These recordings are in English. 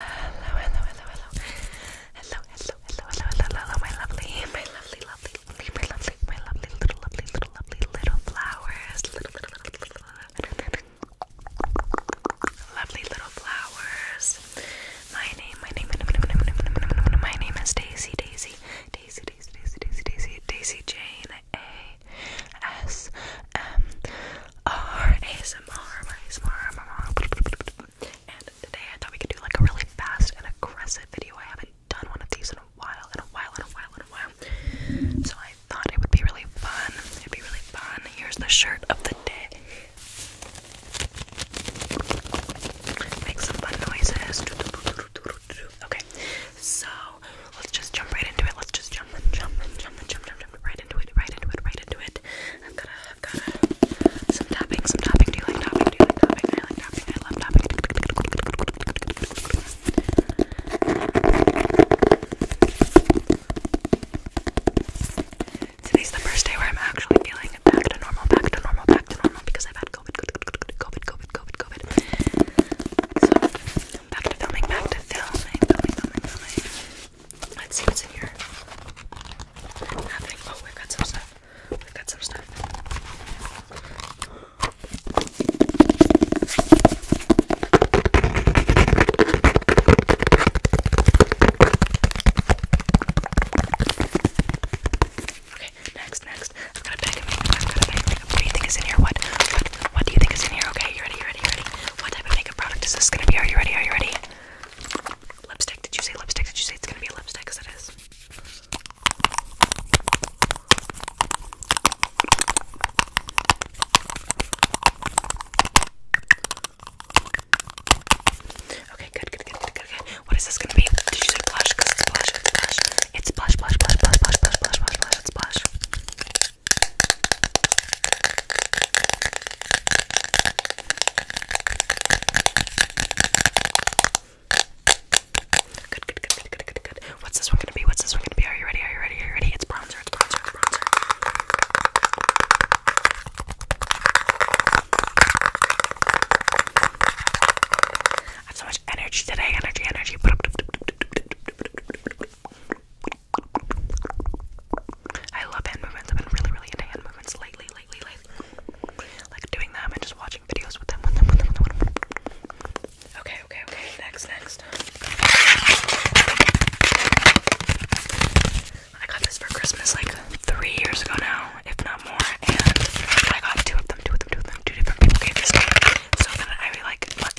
Hello, hello, hello, hello. Hello, hello, hello, hello, my lovely, my lovely, lovely, lovely, my lovely, my lovely, little, lovely, little, lovely, little flowers. Little, little, little, little, little. Lovely little flowers. My name, my name, my name, my name, my name, is Daisy, Daisy, Daisy, Daisy, Daisy, Daisy, Daisy, Daisy Jane A S M ASMR, ASMR, ASMR. And today I thought we could do like a really fast and aggressive video. I haven't done one of these in a while, in a while, in a while, in a while. So I thought it would be really fun. It'd be really fun. Here's the shirt of the day. Make some fun noises. Okay, so let's just jump right into it. Let's just jump and jump and jump and jump, jump, jump right into it, right into it, right into it. I've got a i some tapping, some tapping. Do you like tapping? Do you like tapping? I like tapping. I love tapping. Today's the first day where I'm actually feeling back to normal, back to normal, back to normal because I've had COVID, COVID, COVID, COVID, COVID. So back filming, back to filming, filming, filming, filming. Let's see what's in here. Oh, we got some stuff. we got some stuff. Okay, next, next. I've got a makeup. I've got a makeup. What do you think is in here? What? What, what do you think is in here? Okay, you ready? You ready? You ready? What type of makeup product is this gonna be? Are you ready? Are you ready? Lipstick, did you say lipstick? Did you say it's gonna be lipstick? Because it is. Okay, good, good, good, good, good, What is this gonna be? Did you say blush? Because it's blush, blush. It's blush, blush, blush, blush, blush, blush, blush, blush, blush. Good, good, good, good, good, good, good. What's this one gonna be? What's this one gonna be? Are you ready? Are you ready? Are you ready? It's bronzer, it's bronzer, it's bronzer. I have so much energy today. Energy, energy. I love hand movements. I've been really, really into hand movements lately, lately, lately. Like doing them and just watching videos with them, with them, with them, with them. Okay, okay, okay. Next, next. I got this for Christmas like three years ago now, if not more. And I got two of them, two of them, two of them, two different people gave this to me. So then I like, like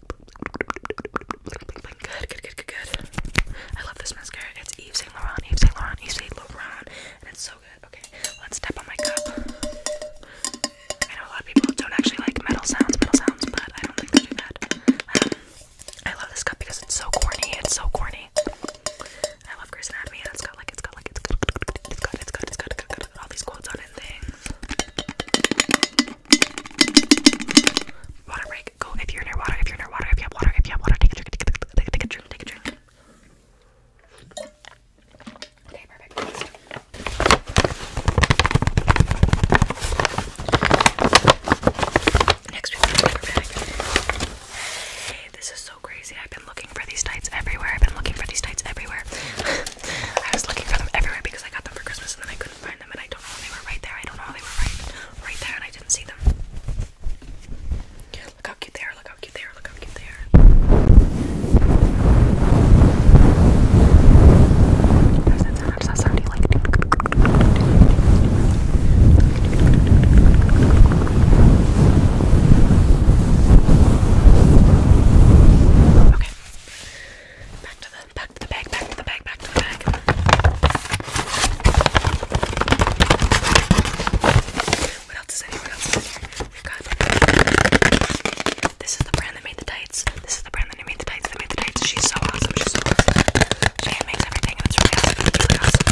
Good, good, good, good, good. I love this mascara. It's Yves Saint Laurent, Yves Saint Laurent, Yves Saint Laurent, and it's so good. Okay, let's tap on my cup. I know a lot of people don't actually like metal sounds, metal sounds, but I don't think they do that. Um, I love this cup because it's so corny. It's so corny. I love Grey's Anatomy, and it's got like, it's got like, it's got, it's got, it's got, it's got, it's got, it's got, it's got all these quotes on it and things. Water break. Go if you're near water. If you're near water. If you have water. If you have water. Take a drink. Take a drink. Take a drink. Okay, perfect. Next. we have a bag. Hey, this is so crazy. I've been looking for these tights everywhere. I've been looking for these tights everywhere. I was looking for them everywhere because I got them for Christmas and then I couldn't find them and I don't know they were right there. I don't know they were right right there and I didn't see them. Look how cute they are, look how cute they are, look how cute they are. Okay. Back to the back to the bag, back to the bag, back to the bag. What else is in here? What else is in here? We've got This is the brand that made the tights. This is the brand that made the tights. That made the tights. She's so awesome. She's so awesome. She makes everything and it's really awesome. It's really awesome.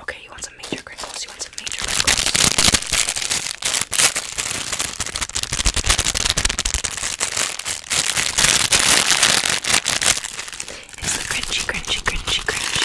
Okay, you want some major crinkles? You want some major crinkles? It's the crunchy, crunchy, crunchy, crunchy.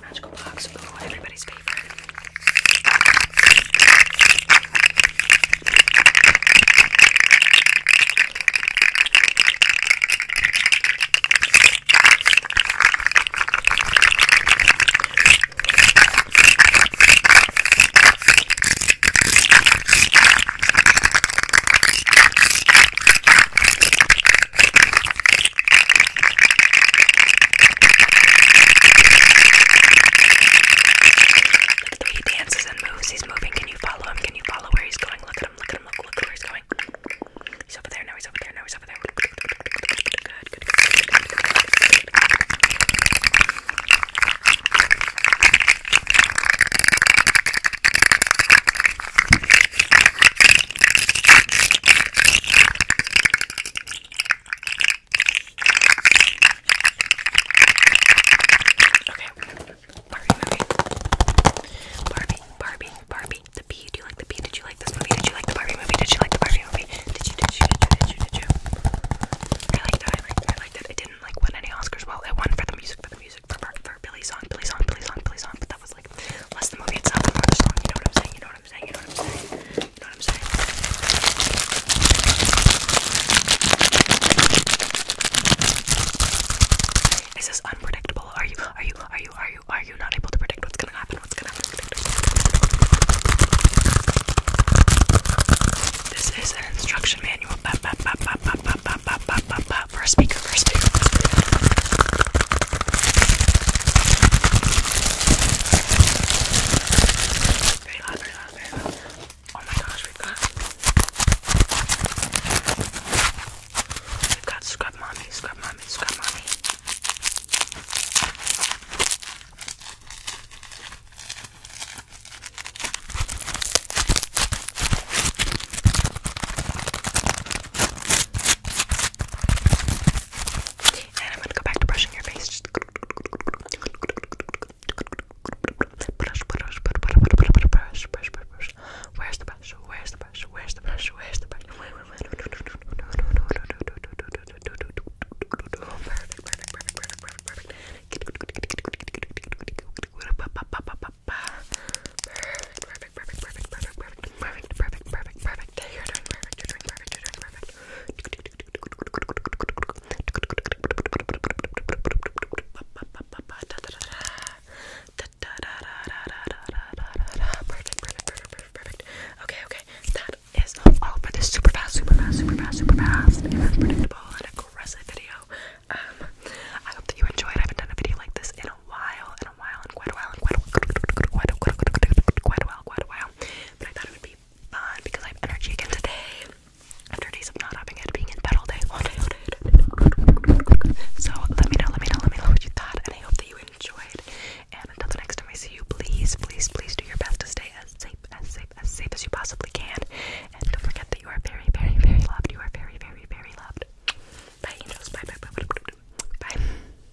this magical box. Ooh, everybody's favorite. Look at the way he dances and moves. He's moving. Can you follow him? Can you follow where he's going? Look at him. Look at him. Look, look at where he's going. He's over there. Now he's over there. Now he's over there. Good. Good. Good. Good. Good. Okay. Barbie Barbie, Barbie, Barbie. The Bee. Do you like the Bee? Did you like this movie? Did you like the Barbie movie? Did you like the Barbie movie? Did you, did you, did you, did you, did you? I liked it. I liked it. I didn't like win any Oscars. Well, it won for the music, for the music, for, for Billy's song, Billy's song, Billy's song, Billy's song. But that was like less the movie itself and the song. You know what I'm saying? You know what what I'm saying, you know what I'm saying, you know what I'm saying. Is this unpredictable? Are you, are you, are you, are you, are you not able to predict what's gonna happen? What's gonna happen? This is an instruction manual for a speaker, for a speaker. Very loud, very loud, very loud. Oh my gosh, we've got We've got scrub mommy, scrub mommy, scrub mommy. And I'm gonna go back to brushing your face. Just brush, brush, brush, brush, brush, brush. Where's the brush? Where's the brush? Where's the brush? Where's the brush? Perfect, perfect, perfect, perfect, perfect, perfect. Perfect, perfect, perfect, perfect, perfect, perfect, perfect, perfect, perfect. You're doing perfect, you're doing perfect, you're doing perfect. Perfect, perfect, perfect, perfect, Okay, okay. That is all for this super fast, super fast, super fast, super fast, unpredictable and aggressive video. Um, I hope that you enjoyed. I haven't done a video like this in a while, and quite a while, quite a while, quite a while, quite a while, quite a while. But I thought it would be fun because I have energy again today after days of not having it, being in bed all day, all day, all day. So let me know, let me know, let me know what you thought, and I hope that you enjoyed. And until the next time I see you, please, please, please do your best to stay as safe, as safe, as safe as you possibly can. And don't forget that you are very, very, very loved. You are very, very, very loved. Bye, angels. bye, bye, bye. bye.